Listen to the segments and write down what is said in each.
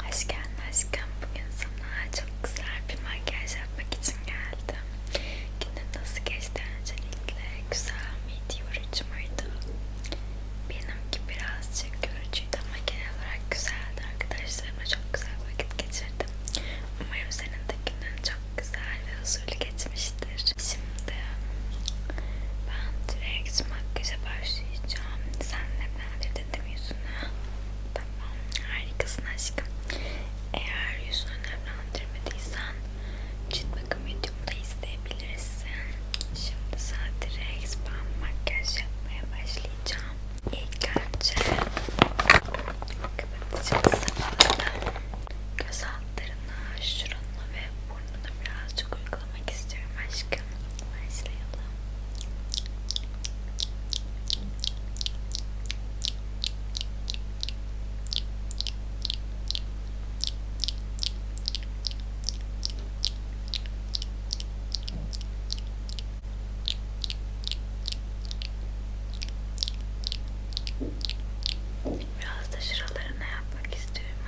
Hoş geldin aşkım. Bugün sana çok güzel bir makyaj yapmak için geldim. Günüm nasıl geçti öncelikle? Güzel miydi, yorucu muydu? Benimki birazcık yorucuydu ama genel olarak güzeldi. Arkadaşlarımla çok güzel vakit geçirdim. Umarım senin de günün çok güzel ve huzurlu geçmiştir. Şimdi ben direkt makyaja başlayacağım. Senle ben temizledin değil mi yüzünü? Tamam harikasın aşkım. Eğer yüzünü nemlendirmediysen cilt bakım videomda isteyebilirsin. Şimdi sadece ben makyaj yapmaya başlayacağım. İlk önce kapatacağız. Göz altlarını, şuranı ve bunu birazcık uygulamak istiyorum aşkım. Başlayalım. Biraz da şuralarına yapmak istiyorum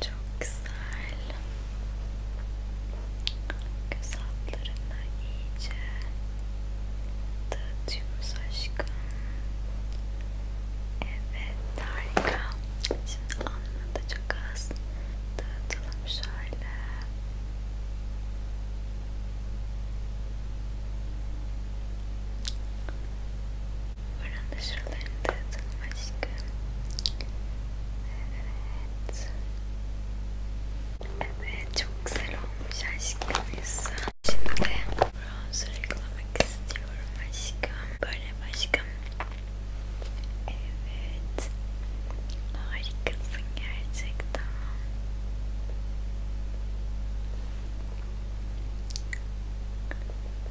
Çok güzel. Göz altlarına iyice dağıtıyoruz aşkım. Evet harika. Şimdi alnını da çok az dağıtalım şöyle. varandas relented. Evet. Evet çok güzel olmuş aşkım Evet. Harikasın gerçekten.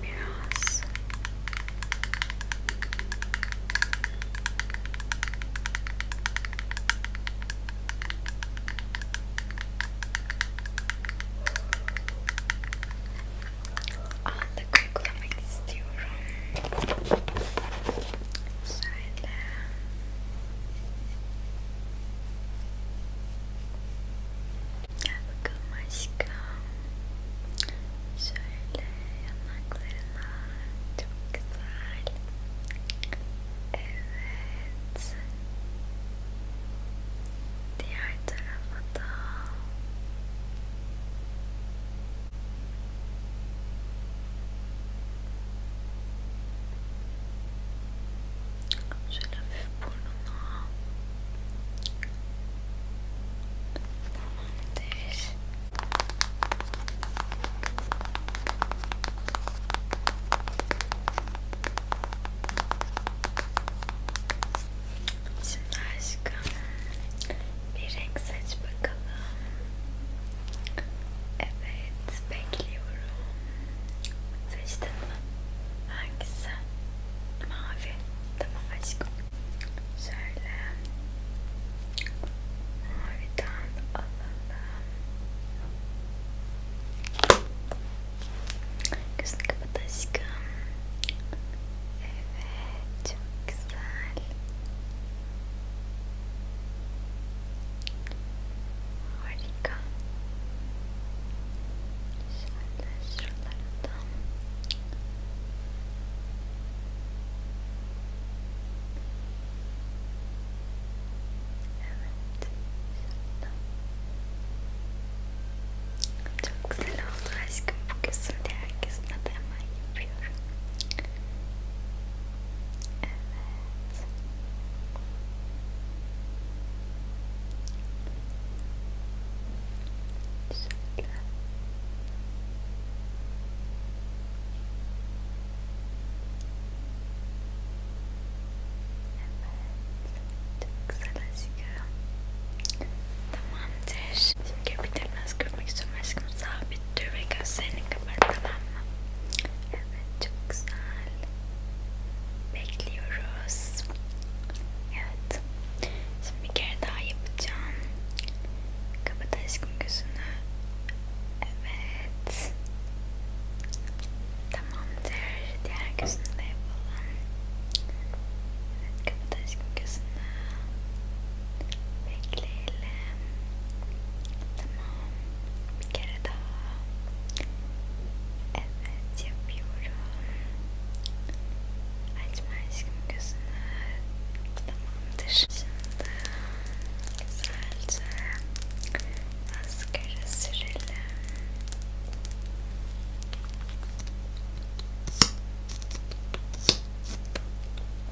Mirrors. All the curriculum is Bakılmaşka Şöyle yanaklarına Çok güzel Evet Diğer tarafa da Evet şöyle hafif bir renk seç bakalım evet bekliyorum seçtin mi? hangisi? mavi tamam aşkım şöyle maviden alalım gözünü kapat aşkım evet çok güzel harika şuralardan Evet Çok güzel oldu aşkım bu gözümde herkesine de hemen yapıyorum Evet. Şöyle. Evet. Çok güzel aşkım. Tamamdır. Şimdi köpüklerini nasıl görmek istiyorum aşkım? Sabit dur ve gözlerini kapat tamam mı? Evet çok güzel. Bekliyoruz. Evet. bir kere daha yapacağım. Kapat aşkım Evet. Tamamdır. Diğer gözünü de yapalım. Evet. Kapat Bekleyelim. Tamam. bir kere daha evet yapıyorum açma aşkım gözünü tamamdır şimdi güzelce maskara sürelim Evet,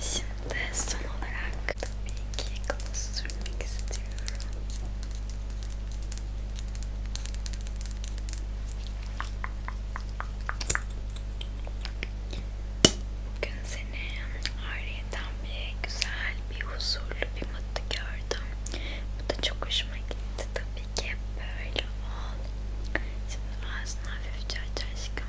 Şimdi son olarak tabii ki gloss sürmek istiyorum. Bugün seni ayrıyeten bir güzel, bir huzurlu, bir mutlu gördüm. Bu da çok hoşuma gitti. Tabii ki hep böyle ol. Şimdi ağzını hafifçe aç aşkım.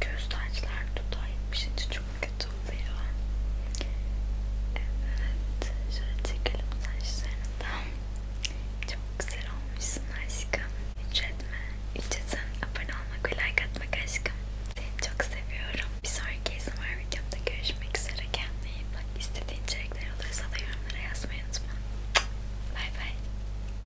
Gözdaşlar dudağa yapışınca şey çok kötü oluyor. Evet. Şöyle çekelim saçlarından. Çok güzel olmuşsun aşkım. Hiç etme. Hiç etsen abone olmak ve like atmak aşkım. Seni çok seviyorum. Bir sonraki izlemar videomda görüşmek üzere. Kendine iyi bak. İstediğin içerikler olursa da yorumlara yazmayı unutma. Bay bay.